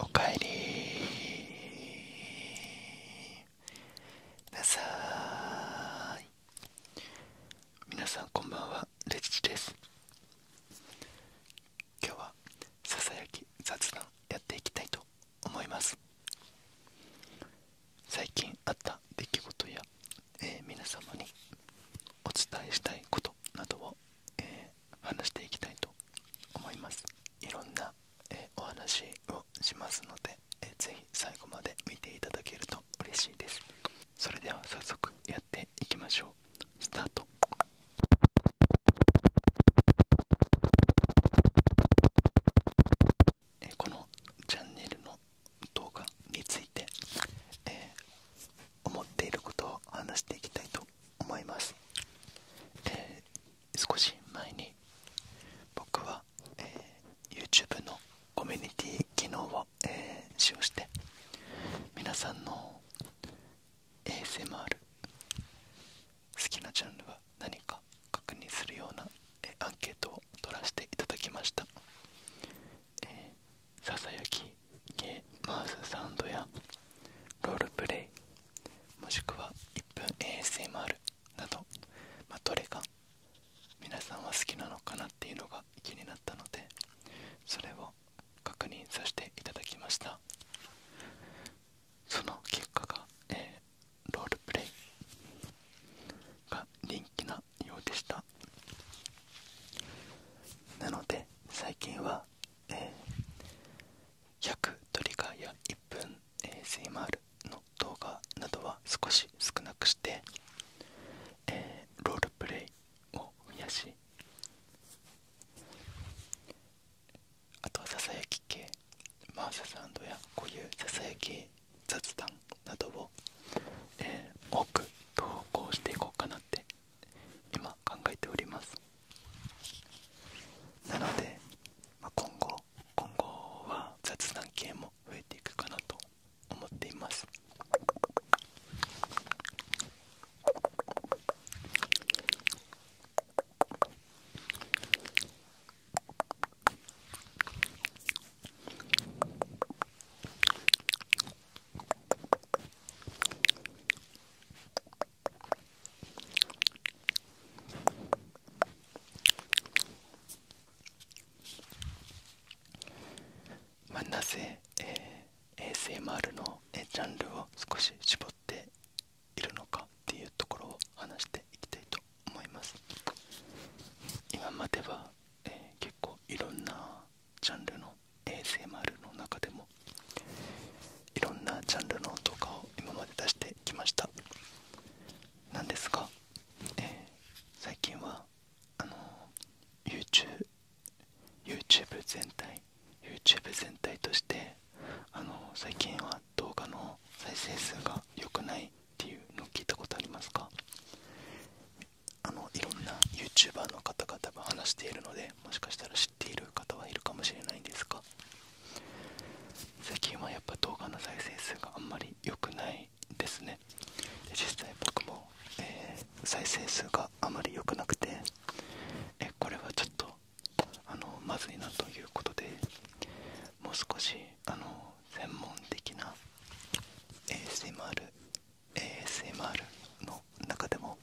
おかえりなさい皆さんこんばんはレジチです今日はささやき雑談やっていきたいと思います最近あった出来事や、え皆様にお伝えしたいことなどを、え話していきたいと思いますいろんな、えお話をしますので、えー、ぜ最後まで見ていただけると嬉しいですそれでは早速やっていきましょうスタートえこのチャンネルの動画について、思っていることを話していきたいと思います、少し前に僕は、え YouTube のコミュニティ機能を、え使用して皆さんの ASMR 好きなジャンルは何か確認するようなアンケートを撮らせていただきましたえー、ささやきゲーマウスサウンドやロールプレイもしくは1分 ASMR など、まどれが皆さんは好きなのかなっていうのが気になったのでそれを確認させていただきましたその結果が、えロールプレイが人気なようでしたなので最近は、えー、100トリガーや1分 ASMR の動画などは少し少なくして、えロールプレイを増やしあとはささやき系マーササンドやこういうささやき雑談などを、え多く投稿していこうかなって今考えておりますなので、ま今後今後は雑談系も増えていくかなと思っていますまあ、なぜ、ASMR の、ジャンルを少し絞っているのかっていうところを話していきたいと思います。思います今までは、え結構いろんなジャンルの ASMR の中でもいろんなジャンルの動画を今まで出してきましたなんですが、え最近はあの YouTube, YouTube 全体 YouTube 全体としてあの最近は動画の再生数が良くないっていうのを聞いたことありますかあのいろんな YouTuber の方々が話しているのでもしかしたら知っている方はいるかもしれないんですが最近はやっぱ動画の再生数があんまり良くないですねで実際僕も、え再生数があまり良くなくてえこれはちょっとあのまずいなということでもう少しあの専門的な ASMR, ASMR の中でも、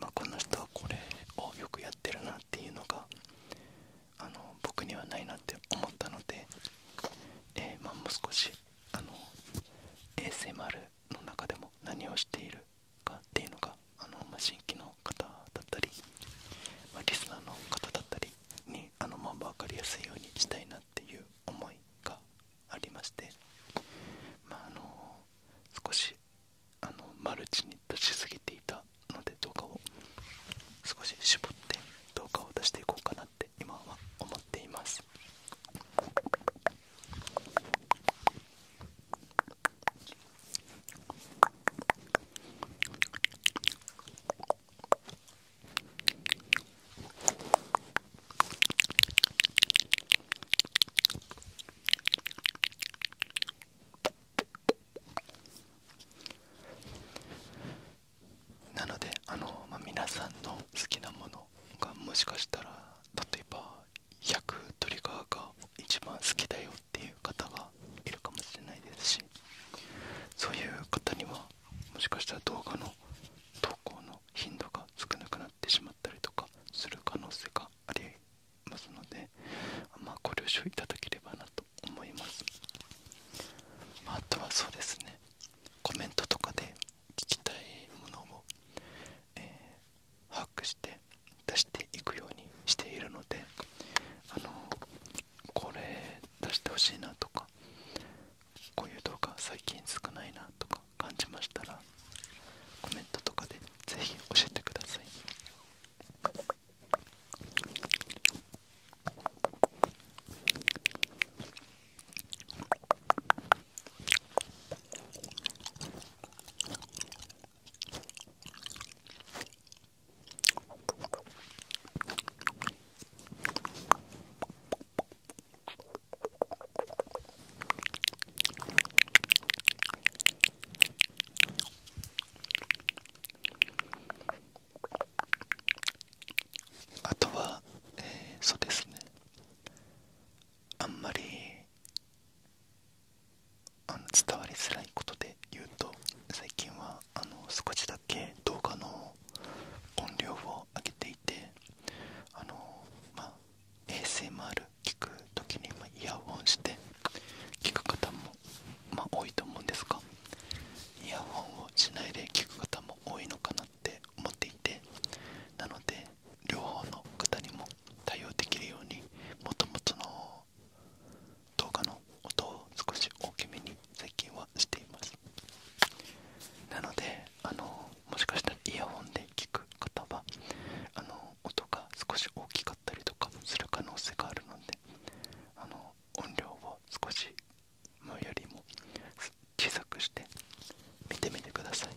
まあ、この人はこれをよくやってるなっていうのがあの僕にはないなって思ったので、えまもう少しあの ASMR の中でも何をしているかっていうのがあの、ま新規の方だったり、まあ、リスナーの方だったりにあの、まあ、分かりやすいようにしたいなっていう思いがありまして、まあ、の少しあのマルチに出しすぎていたので動画を少し絞って動画を出していこうかなって今は思っています。なので皆さんの好きなものがもしかしたら例えば100トリガーが一番好きだよっていう方がいるかもしれないですしそういう方にはもしかしたら動画の投稿の頻度が少なくなってしまったりとかする可能性がありますので、まあ、ご了承いただければなと思います、あ、とはそうですねコメントとかで聞きたいものを、え把握して出していくようにしているのであのこれなとかこういう動画最近少ないなとか感じましたらコメントとかでぜひ教えてくださいあとは、えー、そうですねあんまりあの伝わりづらいことで言うと最近はあの少しだけ動画の音量を上げていてあの、ま ASMR 聞く時にイヤホンして聞く方も、ま多いと思うんですがイヤホンをしないで聞く方も多いのかなって思っていてなので両方の方にも対応できるようにもともとの動画の音を少し大きめに最近はしていますなのであのもしかしたらイヤホンで聞く方はあの音が少し大きかったりとかする可能性があるのであの音量を少し前よりも小さくして見てみてください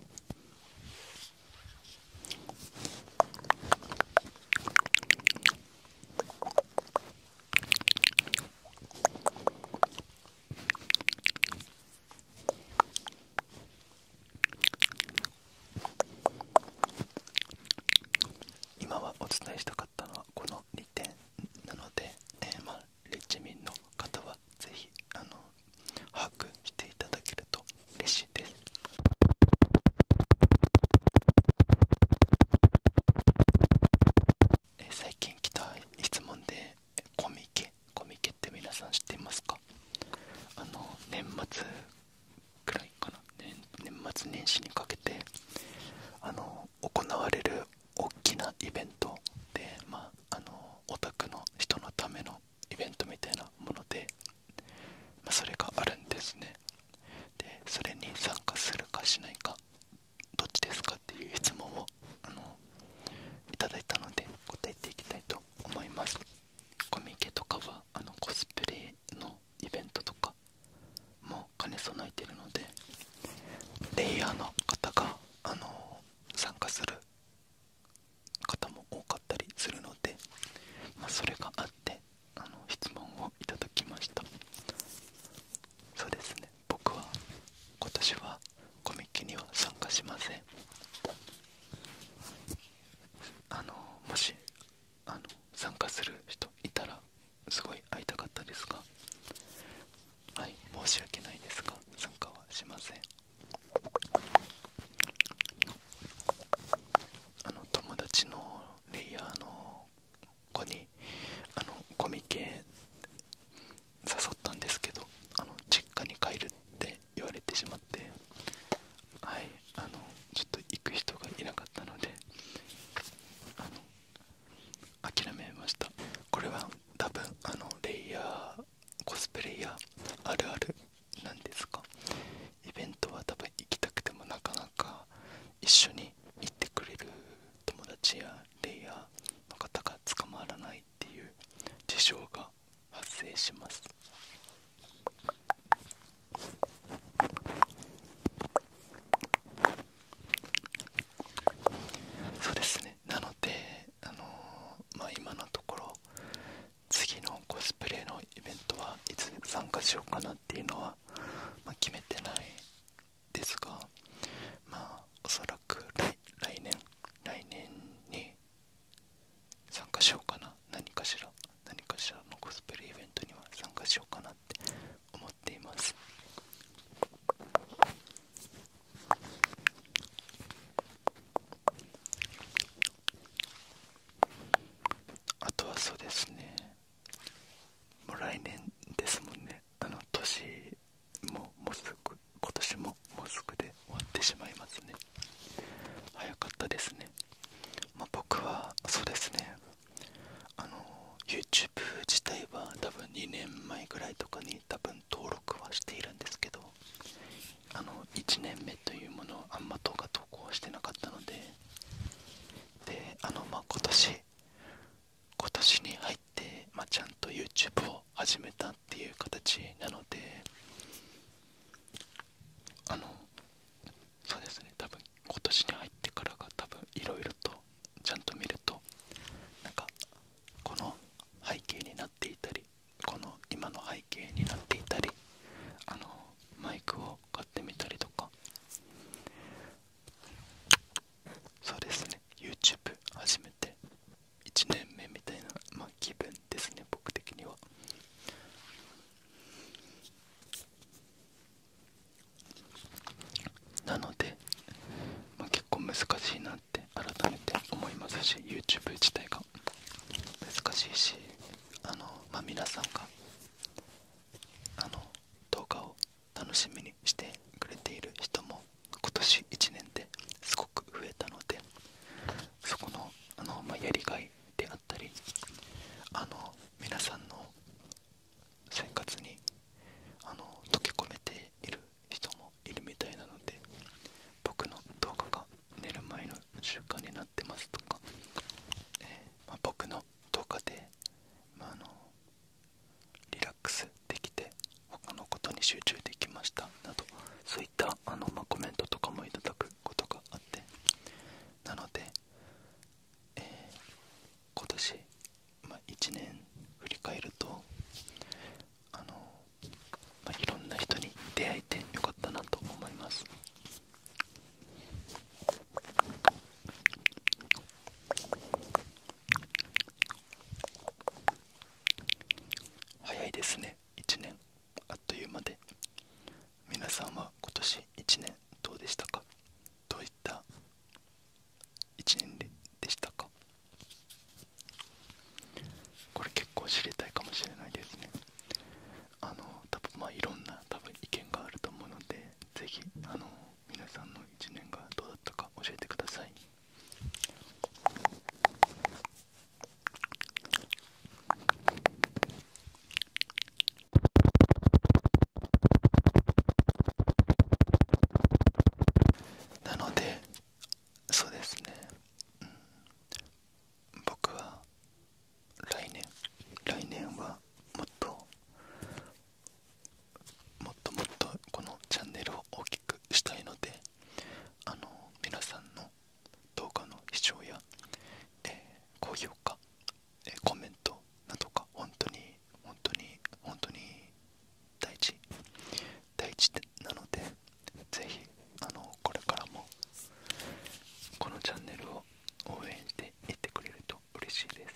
今はお伝えしたかったのはこの2点なので、えーまリッチミンの方はぜひ把握していただけると嬉しいです。え最近来た質問でコミケコミケって皆さん知っていますかあの年末くらいかな年末年始にかけてあの行われる大きなイベントでまああのオタクの人のためのイベントみたいなもので、まそれがあるんですねでそれに参加するかしないかどっちですかっていう質問をあのいただいたので答えていきたいと思いますコミケとかはあのコスプレのイベントとかも兼ね備えてるのでレイヤーの方があの参加する方も多かったりするので、まそれがあってあの質問をいただきましたそうですね僕は今年はコミケには参加しませんあのもしあの参加する人いたらすごい会いたかったですがはい申し訳ないですが参加はしませんあの友達のレイヤーの子にあのコミケ誘ったんですけどあの実家に帰るって言われてしまってはいあのちょっと行く人がいなかったのであの諦めましたこれは多分あのレイヤーコスプレイヤーあるあるなんですかイベントは多分行きたくてもなかなか一緒に行ってくれる友達やレイヤーの方が捕まらないっていう事象が発生しますそうですねなので、あのま今のところ次のコスプレのイベントはいつ参加しようかなっていうのは、ま決めてないですがまあおそらく来来年来年に参加しようかな何かしら何かしらのコスプレイベントには参加しようかなって思っていますあとはそうですねもう来年ですもんねあの年ももうすぐ今年ももうすぐで終わってしまいますね早かったですね、ま僕はそうですねあの YouTube 自体は多分2年前ぐらいとかに多分登録はしているんですけどあの1年目というものをあんま動画投稿してなかったのでであのまあ今年今年に入って、まちゃんと YouTube を始めたっていう形なのであのそうですね多分今年に入ってからが多分いろいろとちゃんと見るとなんかこの背景になっていたりこの今の背景になっていたりあのマイクを買ってみたりとかそうですね YouTube 始めて1年目みたいな、まあ、気分ですね僕的にはなので、まあ、結構難しいなって改めて思いますし YouTube 自体が難しいしあの、まあ、皆さんがあの動画を楽しみにしてくれている人も今年1年ですごく増えたのでそこのあの、まやりがいであったりあの皆さんの生活にあの溶け込めている人もいるみたいなので僕の動画が寝る前の習慣になってますとか、えま僕の動画で、まあのリラックスできて他のことに集中できましたなどそういったあの、まコメントとかもいただくことがあってなので、えー、今年、ま1年振り返るとあの、まいろんな人に出会えてよかったなと思います。早いですね1年あっという間で皆さんは今年1年どうでしたかどういった1年でしたかこれ結構知りたいかもしれないですねあの多分まあいろんな多分意見があると思うのでぜひあの皆さんの一年がどうだったか教えてくださいなのでそうですね、うん、僕は来年来年はもっともっともっとこのチャンネルを大きくしたいのであの皆さんの動画の視聴や、え高評価、えコメントなどが本当に本当に本当に大事大事なのでぜひあのこれからもこのチャンネルを応援していってくれると嬉しいです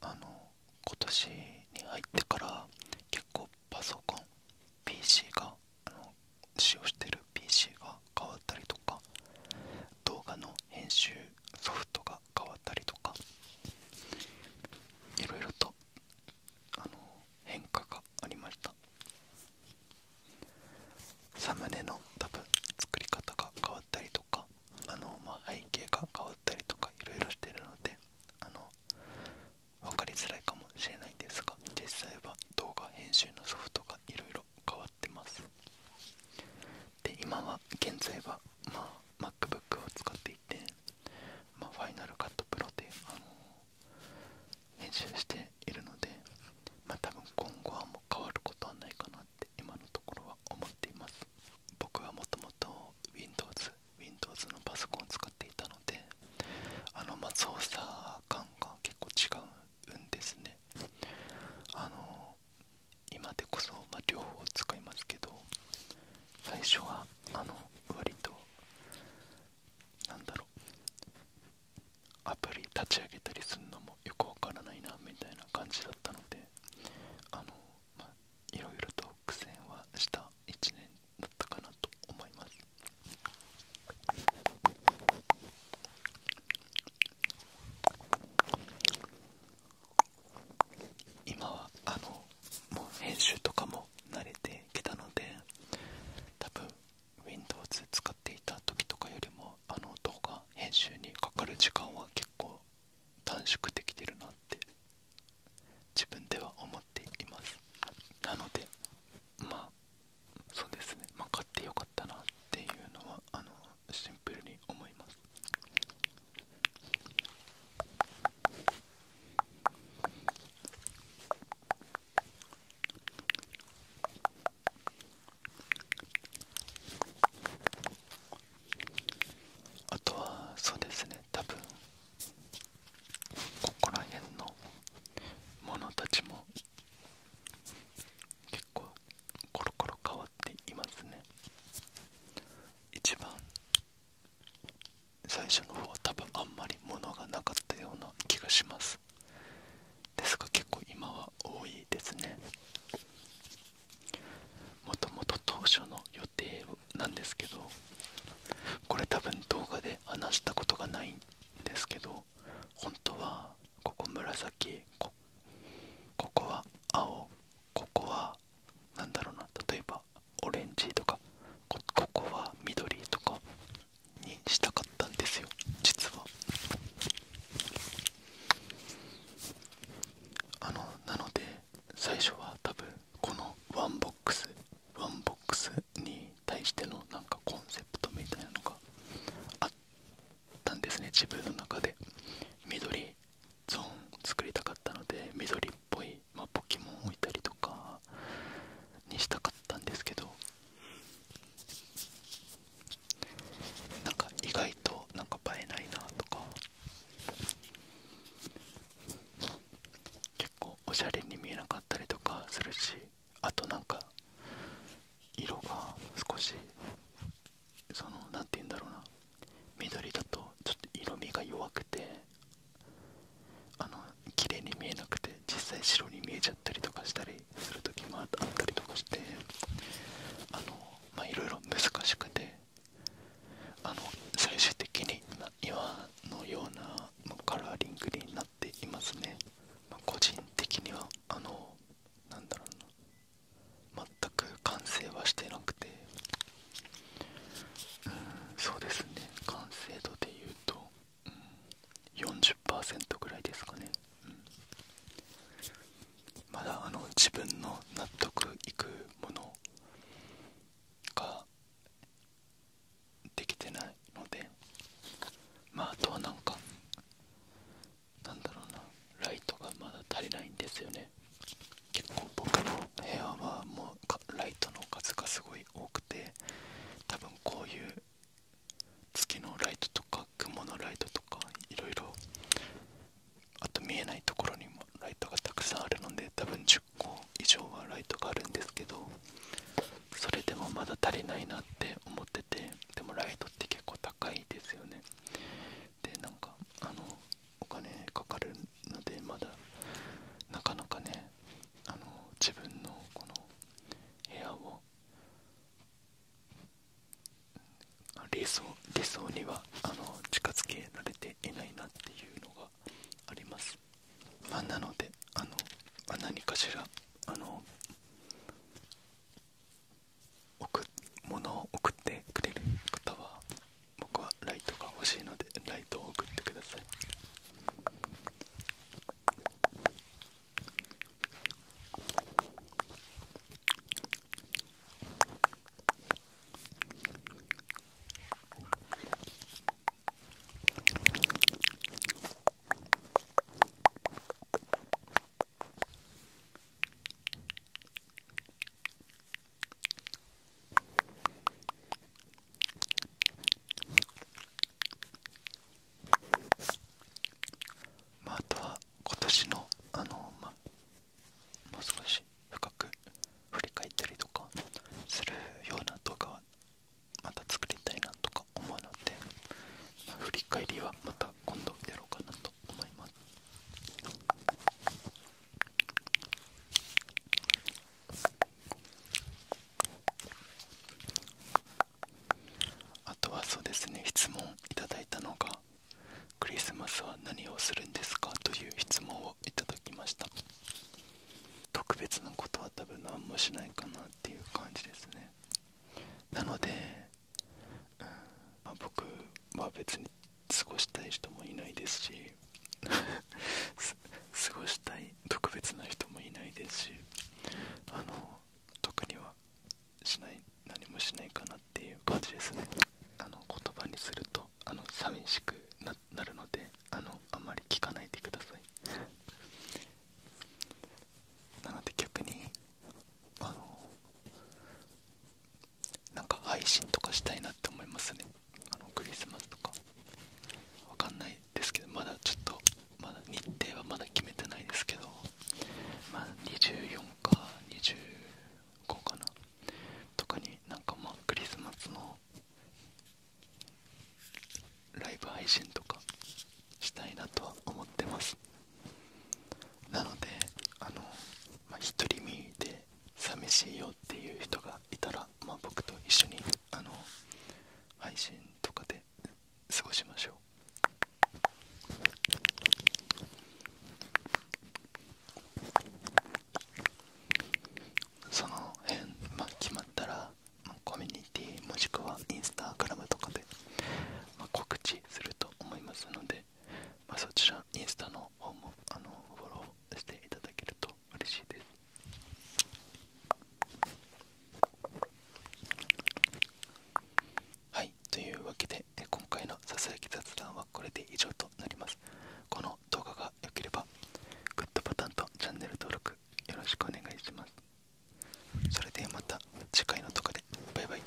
あの今年に入ってから結構パソコン PC があの使用してる PC が変わったりとか動画の編集ソフトが変わったりとかいろと変化がありましたサムネの多分作り方が変わったりとかあの、ま背景が変わったりとかいろいろしてるのであの分かりづらいかもしれないんですが実際は動画編集のソフトがいろいろ変わってますで今は現在は、ま MacBook を使っていて、まあ、ファイナルカットプロで、編集しているので、ま多分今後はもう変わることはないかなって今のところは思っています僕はもともと Windows, Windows のパソコンを使っていたのであのま操作感が結構違うんですねあのの今でこそ、ま両方使いますけど最初はあの割となんだろうアプリ立ち上げたりするのもよくわからないなみたいな感じだったのであの、まあ、いろいろと苦戦はした1年だったかなと思います今はあのもう編集とかも慣れてきたので多分 Windows 使っていた時とかよりもあの動画編集にかかる時間は結構短縮できてるなって自分では思っていますなのでまあそうですねま買ってよかったなっていうのはあのシンプルに思いますあとはそうですね多分ここら辺のものたちも結構コロコロ変わっていますね一番最初の方は多分あんまり物がなかったような気がしますですが結構今は多いですねもともと当初の予定なんですけどこれ多分動画で話したことがないんですけど本当はここ紫とここは青ここは何だろうな例えばオレンジとかここは緑とかにしたかったんですよ実はあのなので最初は多分このワンボックスワンボックスに対してのなんかコンセプトみたいなのがあっっんですね自分の中で緑ゾーン作りたかったので緑っぽい、まあ、ポケモン置いたりとかにしたかったんですけどなんか意外となんか映えないなとか結構おしゃれに見えなかったりとかするしあとなんか色が少しその何て言うんだろうな緑だとちょっと色味が弱くてあの綺麗に見えなくて実際白に見えちゃったりとかしたりする時もあったりとかしてあのまあいろいろ難しくてあの最終的に岩のようなカラーリングになっていますね、ま個人的にはあのなんだろうな全く完成はしてなくてうんそうですね完成度でいうと、うん、40%ぐらいですかね、うん、まだあの自分の納得いくものができてないのでまああとはなんかなんだろうなライトがまだ足りないんですよね結構僕の部屋はもうライトの数がすごい多くて多分こういう月のライトとか雲のライトとか色々？あと見えないところにもライトがたくさんあるので多分10個以上はライトがあるんですけどそれでもまだ足りないなって思っててでもライトって結構高いですよねでなんかあのお金かかるのでまだなかなかねあの自分のこの部屋を理想理想にはあの近づけられていないなっていうのがあります、まなのであの、ま何かしらあの物を送ってくれる方は僕はライトが欲しいのでライトを送ってくださいまあ、あとは今年のあのまあもう少し深く振り返ったりとかするような動画はまた作りたいなとか思うので、まあ、振り返りはまた今度やろうかなと思います。あとはそうですね質問いただいたのがクリスマスは何をするんですかという質問をいただきました特別なことは多分何もしないかなっていう感じですねなのでうんあ、僕は別に過ごしたい人もいないですし 過ごしたい特別な人もいないですしあの特にはしない何もしないかなっていう感じですねあの言葉にするとあの寂しくなるのであのあまり聞かないでくださいなので逆にあのなんか配信とかしたいなって思いますねあのクリスマスとかわかんないですけどまだちょっとまだ日程はまだ決めてないですけどまあ24か25かなとかになんかまクリスマスのライブ配信とかしたいなとは思ってますなのであのまあ、独り身で寂しいよっていう人がいたら、ま僕と一緒にあの配信とかで過ごしましょうその辺、ま決まったら、まコミュニティもしくはインスタグラムとかで、ま告知すると思いますのでまそちらインスタの方もあのフォローしていただけると嬉しいですはいというわけで今回のささやき雑談はこれで以上となりますこの動画が良ければグッドボタンとチャンネル登録よろしくお願いしますそれではまた次回の動画でバイバイ